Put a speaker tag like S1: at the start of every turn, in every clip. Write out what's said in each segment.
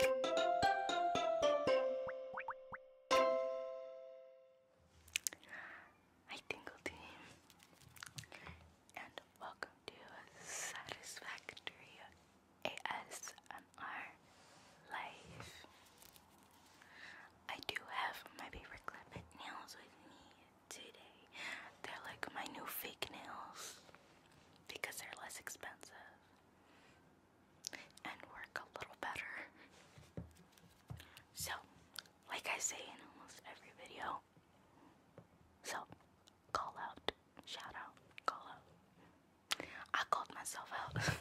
S1: Hi Tingle Team and welcome to Satisfactory ASMR Live. I do have my paper clip nails with me today. They're like my new fake nails because they're less expensive and work a little better. So, like I say in almost every video, so call out, shout out, call out. I called myself out.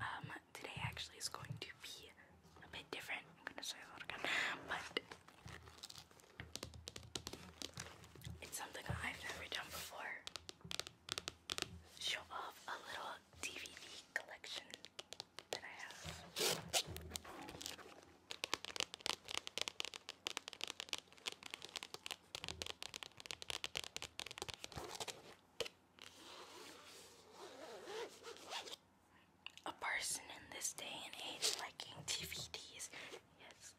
S1: Um, today actually is going to be a bit different. I'm gonna say that again, but it's something I've never done before show off a little DVD collection that I have. A person in this day and age liking DVDs. Yes,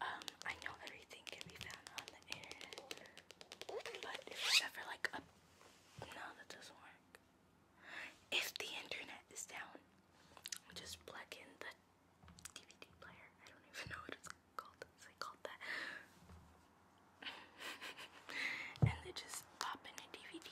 S1: um, I know everything can be found on the internet, but if it's ever like a no, that doesn't work. If the internet is down, just plug in the DVD player. I don't even know what it's called. It's like that. and they just pop in a DVD.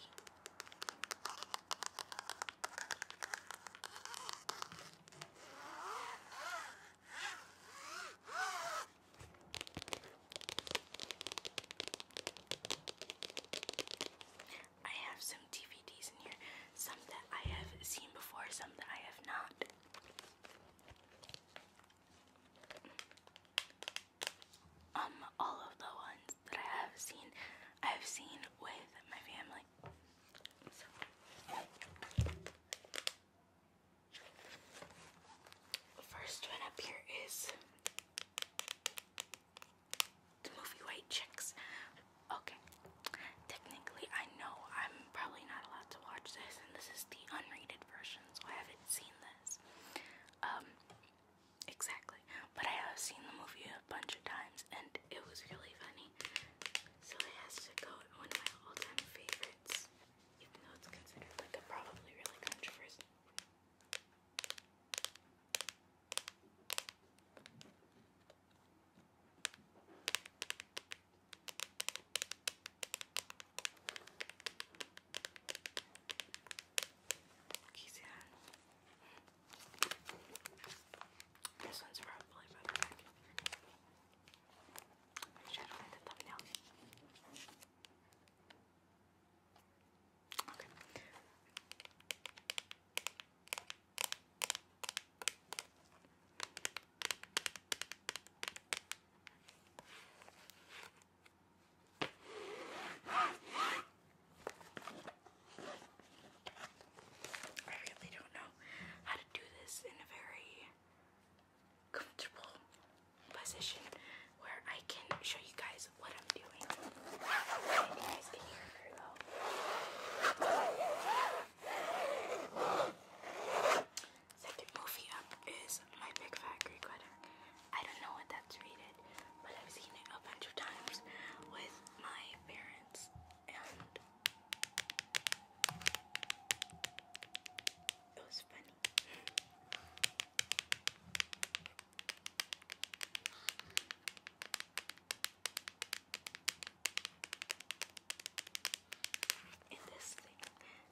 S1: I have some DVDs in here, some that I have seen before, some that I have not. Um, all of the ones that I have seen, I have seen with my family. The first one up here is the movie White Chicks. Okay, technically, I know I'm probably not allowed to watch this, and this is the unrated version, so I haven't seen this. Um, exactly, but I have seen the movie a bunch of times, and it was really funny funny. So it has to go one of my all-time favorites, even though it's considered like a probably really controversial. Okay, so this one's probably better. Make sure I don't hit the thumbnail. Okay. I really don't know how to do this in a very comfortable position where I can show you guys what I'm doing. you guys can hear very well. Second movie up is My Big Fat Greek Wedding. I don't know what that's rated, but I've seen it a bunch of times with my parents and it was funny. In this thing,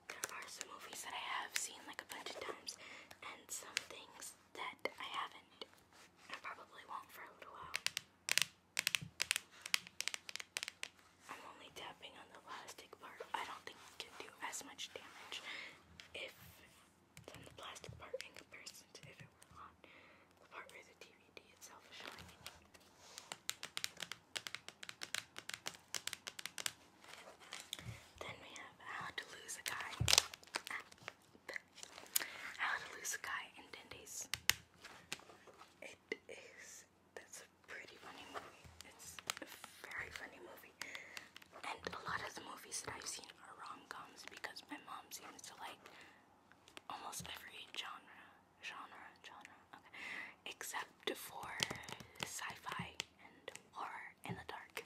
S1: there are some movies that I have seen like a bunch of times, and some things that I haven't. I probably won't for a little while. I'm only tapping on the plastic part. I don't think it can do as much damage if it's the plastic part in comparison to if it were on the part where the DVD itself is showing. Then we have How to Lose a Guy. Ah, How to Lose a Guy in 10 it is. That's a pretty funny movie. It's a very funny movie. And a lot of the movies that I've seen are rom because my mom seems to like almost every genre. Genre, genre, okay. Except for sci-fi and horror in the dark.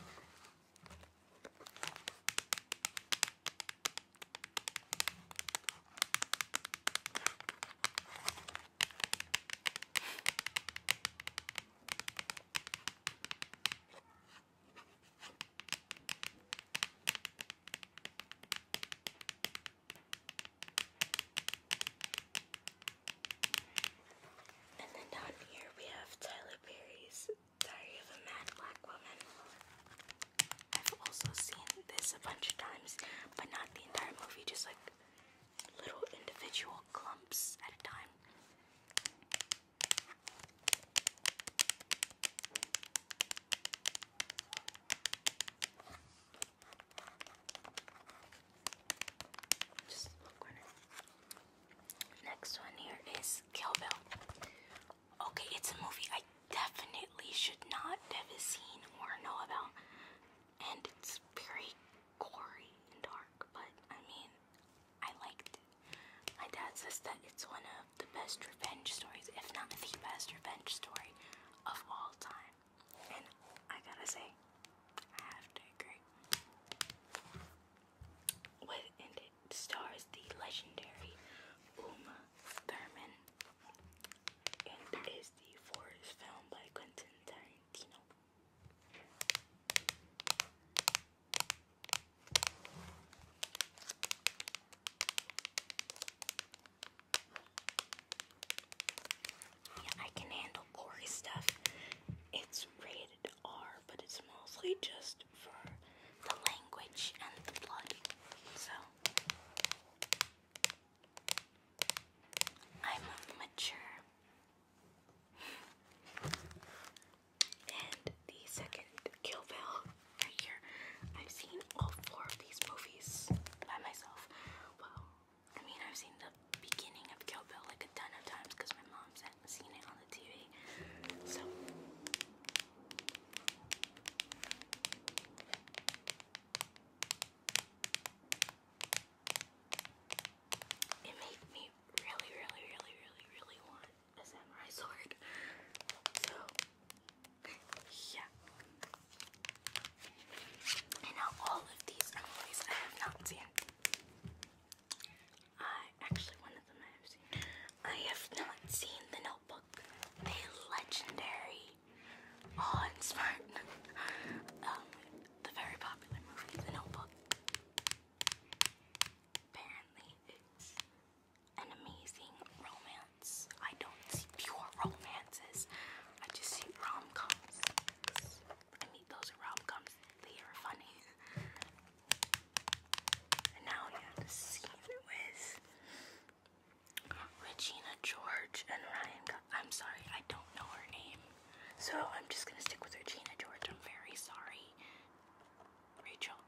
S1: And then down here we have Tyler Perry's Diary of a Mad Black Woman. I've also seen this a bunch of times, but not the entire movie, just like little individual clumps at a time. Just look corner. Next one here is Kill Bill. Okay, it's a movie I definitely should not have seen or know about. And it's very gory and dark, but I mean, I liked it. My dad says that it's one of the best revenge stories, if not the best revenge story of all time. And I gotta say, I have to agree. With, and it stars the legendary Uma Thurman and the fourth film by Quentin Tarantino. I can handle gory stuff. It's rated R, but it's mostly just for the language and the blood. So I'm mature. and the second Kill Bill right here. I've seen all four of these movies by myself. Well, I mean, I've seen the beginning of Kill Bill like a ton of times because my mom's seen it on the TV. So, it made me really, really, really, really, really want a samurai sword. So, yeah. And now all of these Emily's I have not seen. I actually one them I I have not seen The Notebook. The legendary, oh, smart, um, the very popular movie, The Notebook. Apparently, it's an amazing romance. I don't see pure romances. I just see rom-coms. I mean, those rom-coms. They are funny. And now we have the scene with Regina George and Ryan. I'm sorry, I don't know her name. So I'm just gonna stick with Regina George. I'm very sorry. Rachel.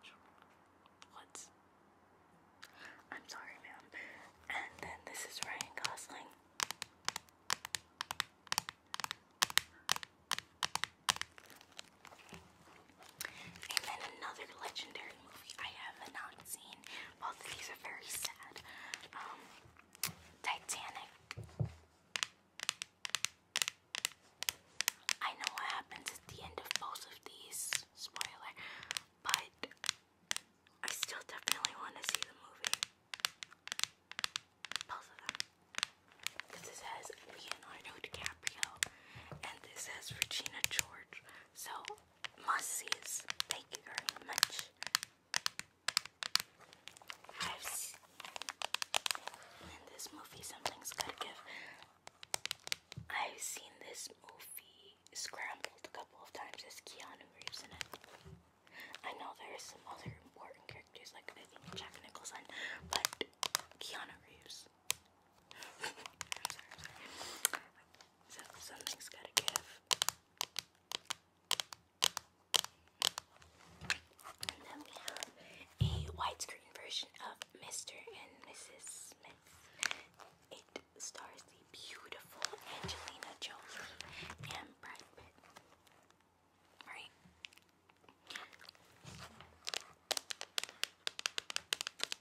S1: Rachel. What? I'm sorry, ma'am. And then this is Ryan Gosling. And then another legendary movie I have not seen. Both of these are very sad. Um, Titanic. I know what happens at the end of both of these, spoiler, but I still definitely want to see the movie. Both of them because says Leonardo DiCaprio and this says Regina George. So, must sees. Thank you very much. I've seen this movie, something's gotta give. I've seen this movie scrambled a couple of times. There's Keanu Reeves in it. I know there are some other important characters, like I think Jack Nicholson, but Keanu Reeves I'm So, something's gotta give. And then we have a widescreen version of Mr. and Mrs. Smith. It stars the beautiful Angelina Jolie and Brad Pitt. Right?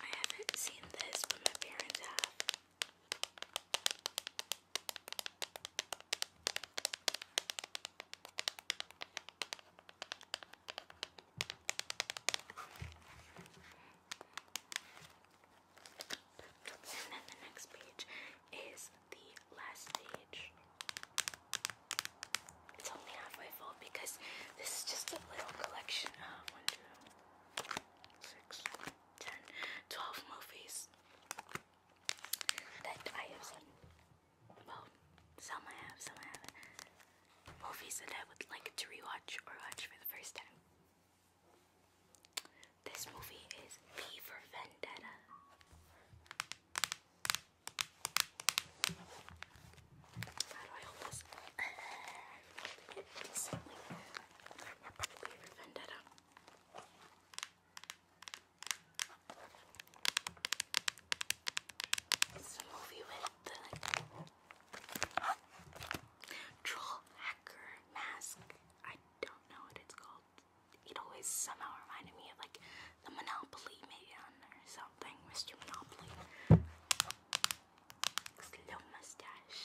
S1: I haven't seen this, but my parents have. And then the next page is the last page. It's only halfway full because this is just a little collection of 1, movies that I have Well, some I have, some I haven't. Movies that I would like to rewatch or watch for the first time. This movie is V for Vendetta. How do I hold this? Uh, decently. I'll probably revenge it up. It's with troll hacker mask. I don't know what it's called. It always somehow reminded me of like the Monopoly on there. so something, Mr. Monopoly. Slow mustache.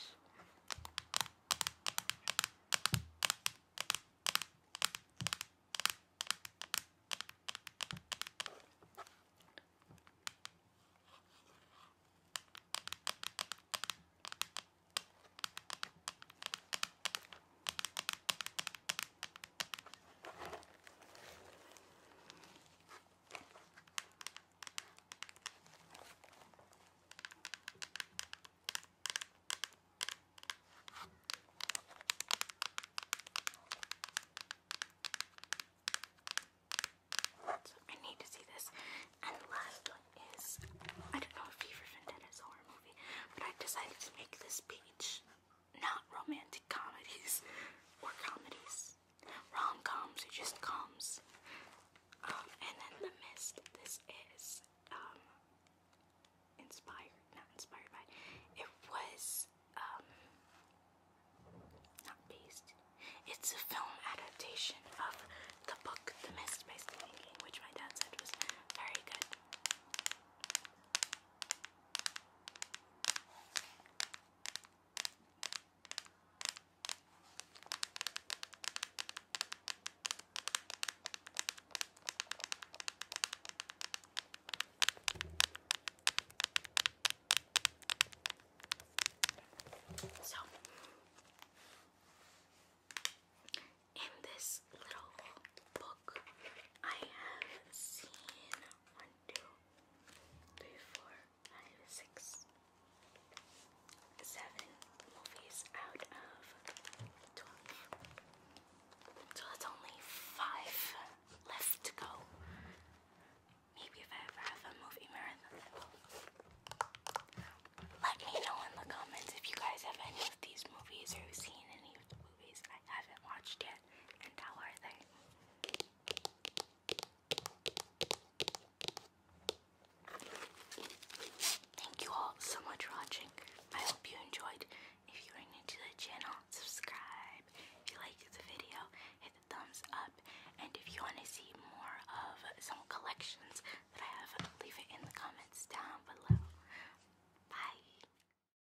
S1: I need to see this. And the last one is I don't know if Fever Vendetta is a horror movie, but i decided to make this beach not romantic comedies or comedies. Rom coms or just coms. Um, and then The Mist. This is um, inspired, not inspired by. It was um, not based. It's a film adaptation of the book The Mist by Stephen King, which my dad said was very good. So, in this little book, I have seen two, three, four, five, six, seven movies out of twelve. So that's only five left to go. Maybe if I ever have a movie marathon, Let me know in the comments if you guys have any of these movies or have seen any of the movies I haven't watched yet. Thank you all so much for watching. I hope you enjoyed. If you are new to the channel, subscribe. If you like the video, hit the thumbs up. And if you want to see more of some collections that I have, leave it in the comments down below. Bye.